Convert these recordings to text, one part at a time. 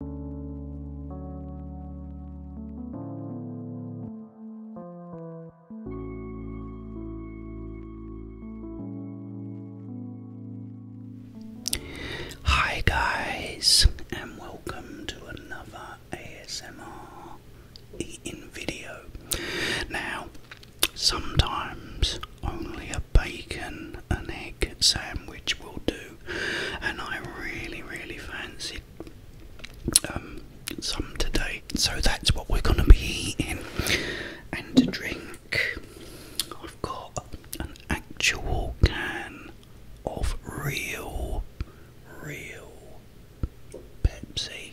Hi, guys, and welcome to another ASMR eating video. Now, sometimes only a bacon and egg sandwich will do and I really, really fancied um, some today. So that's what we're going to be eating and to drink. I've got an actual can of real, real Pepsi.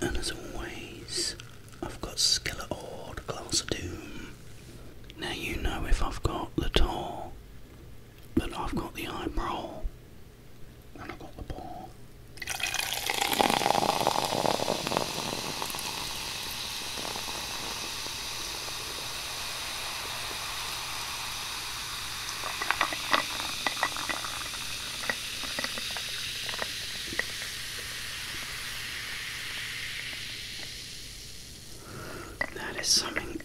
And as always, I've got Skeletor, the Glass of Doom. Now you know if I've got the Tor, but I've got the eyebrow, and I've got the ball. That is something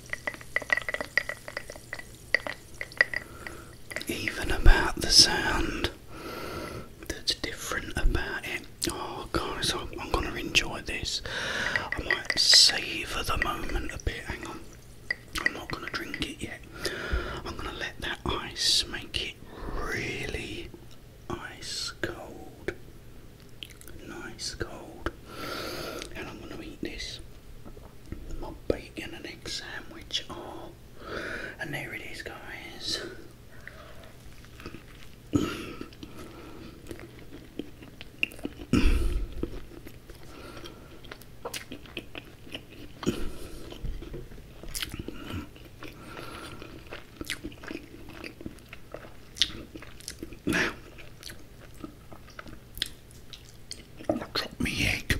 even about the sound that's different about it. Oh, guys, I'm, gonna enjoy this. I might savour the moment a bit. Hang on. I'm not going to drink it yet. I'm going to let that ice make it really ice cold. Nice cold. And I'm going to eat this. My bacon and egg sandwich. Oh, and there it is, guys. Now, i drop me egg.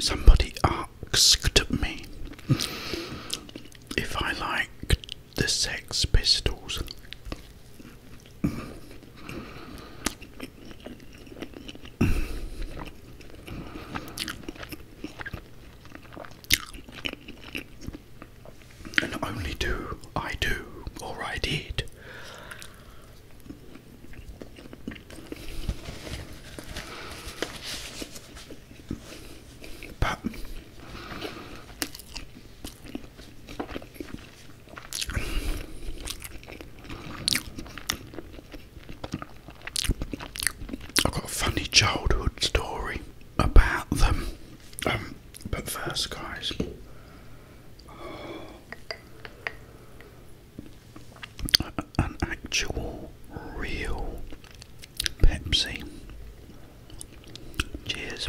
Somebody asked me if I liked the Sex Pistols. And only do I do, or I did. I've got a funny childhood story about them. Um, but first, guys, an actual real Pepsi. Cheers.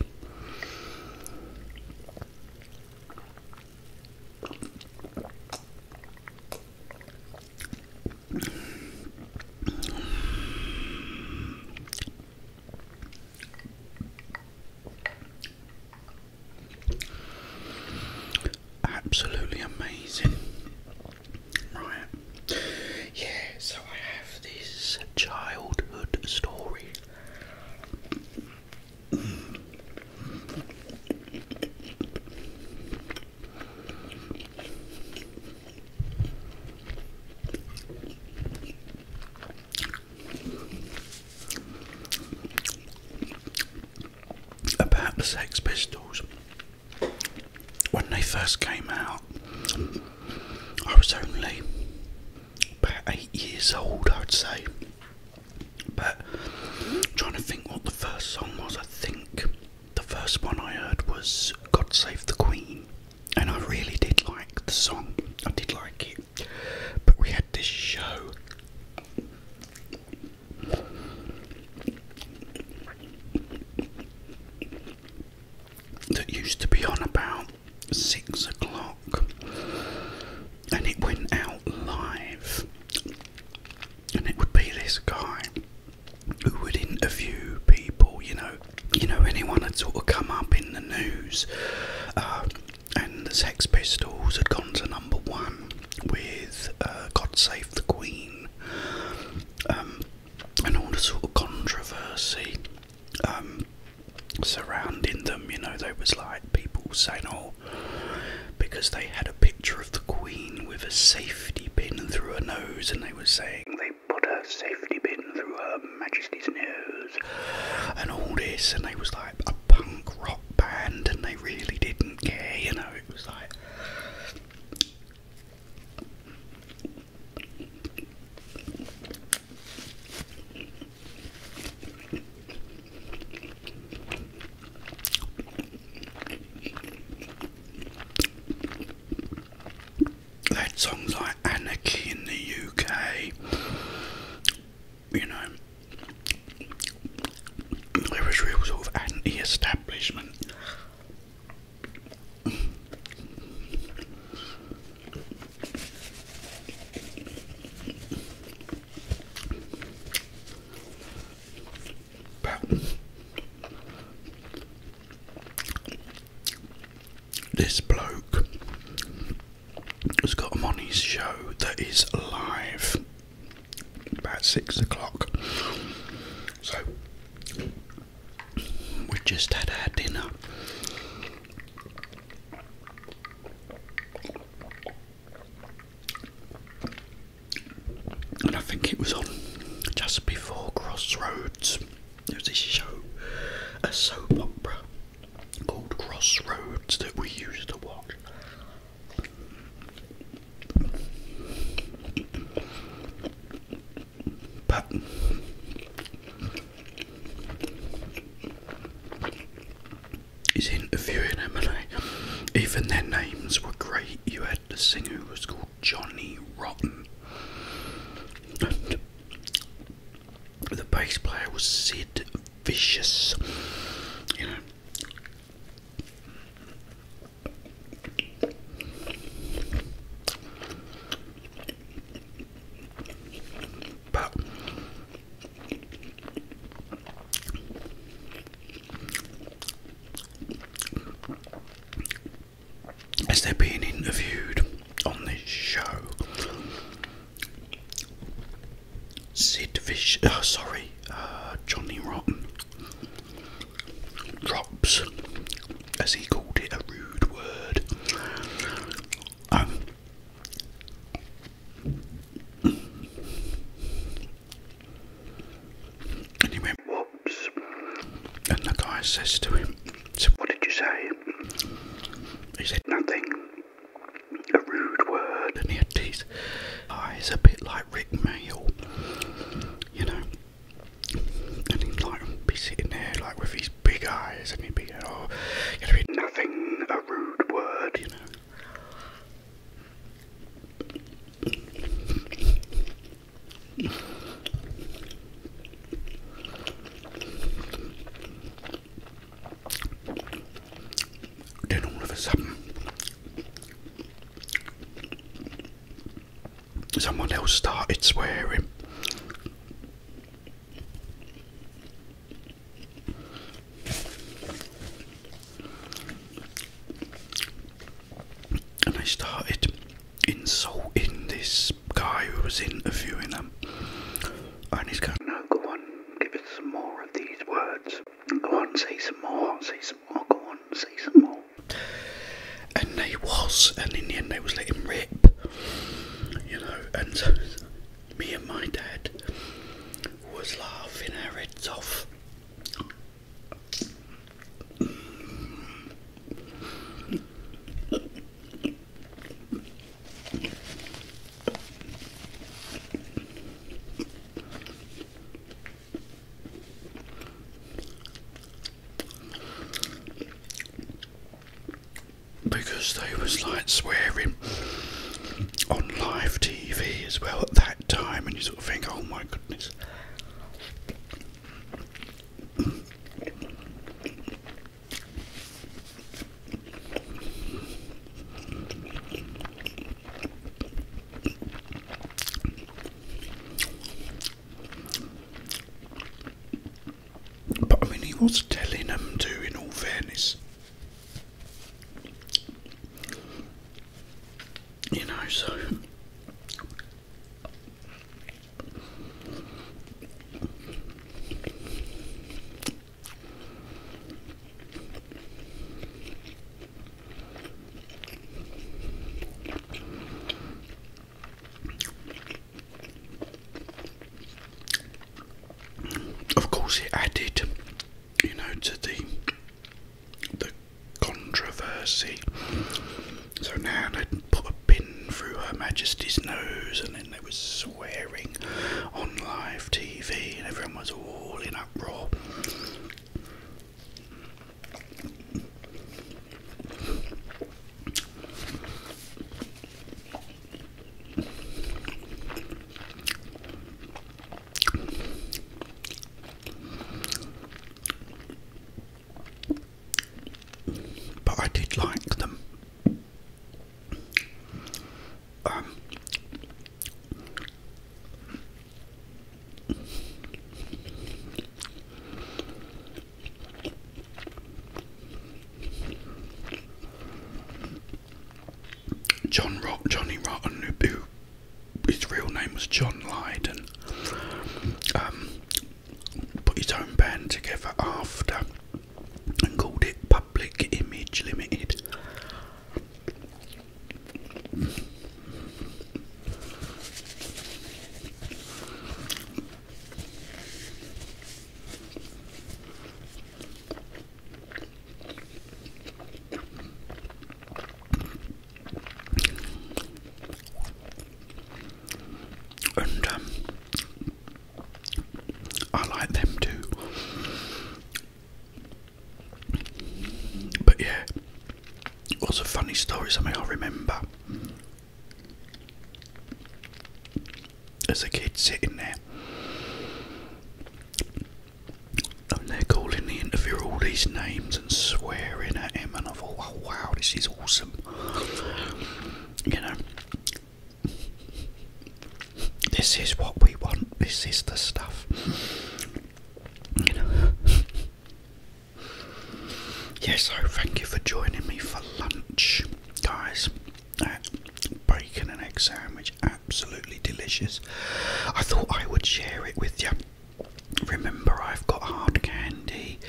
Absolutely amazing. Right. Yeah, so I have this childhood story. About the Sex Pistols, when they first came out, I was only about eight years old, I'd say. But trying to think what the first song was, I think the first one I heard was God Save the Queen, and I really did like the song, I did like it. But we had this show. That used to be on about six o'clock, and it went out live, and it would be this guy who would interview people, you know, you know, anyone had sort of come up in the news, uh, and the Sex Pistols had gone to number one with uh, "God Save the Queen," um, and all the sort of controversy um, surrounding them. You know, there was like people saying, "Oh, because they had a picture of the Queen with a safety pin through her nose, and they were saying they put a safety pin through Her Majesty's nose, and all this, and they was like a punk rock band, and they really didn't care, you know. It was like. They had songs like Anarchy in the UK, you know, there was real sort of anti establishment. But this bloke has got a on show that is live about six o'clock. So we just had our dinner and I think it was on just before Crossroads. It was this show, a soap opera called Crossroads that we used to watch his interviewing in Emily. Even their names were great. You had the singer who was called Johnny Rotten, and the bass player was Sid Vicious. You know. But as they're being interviewed on this show, Sid Fish, uh, oh, sorry, uh, Johnny Rotten drops, as he called it, a rude word. Um, and he went, Whoops. And the guy says to him, what did you say? He said, Nothing. A rude word. And he had teeth. Eyes a bit like Rick Mail, you know. And he'd like be sitting there like with his big eyes and he'd be, oh, nothing, a rude word, you know. Then all of a sudden, someone else started swearing. And I started insulting this guy who was interviewing them. And he's going, No, go on, give us some more of these words. Go on, say some more, say some more, go on, say some more. And they was, and in the end, they was letting rip. You know, and so me and my dad was laughing her heads off. Because they was like swearing on live TV as well at that time, and you sort of think, oh my goodness. But I mean, he was telling them to, in all fairness, you know, so of course, it added you know, to the the controversy. So now had put a pin through Her Majesty's nose, and then they were swearing on live TV, and everyone was all in uproar. But I did like them. Um, John Rot Johnny and who his real name was John Lydon um, put his own band together after and called it Public Image Limited. And um, I like them too. But yeah, lots of funny stories. I may I remember there's a kid sitting there. And they're calling the interviewer all these names and swearing at him, and I thought, wow, this is awesome. You know, this is what we want, this is the stuff. You know. Yes, I thank you for joining me for lunch, guys uh, bacon and egg sandwich, absolutely delicious. I thought I would share it with you. Remember, I've got hard candy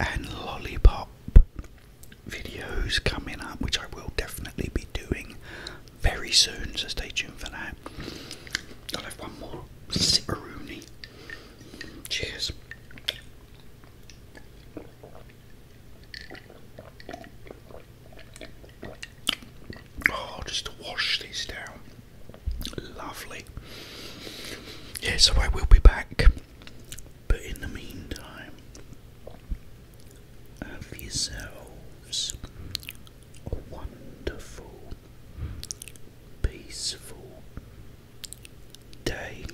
and lollipop videos coming up, which I will definitely be doing very soon, so stay tuned for that. I'll have one more Sipperoonie. Cheers. Oh, just to wash these down. Lovely. Yeah, I will be back. But in the meantime, have yourselves a wonderful, peaceful day.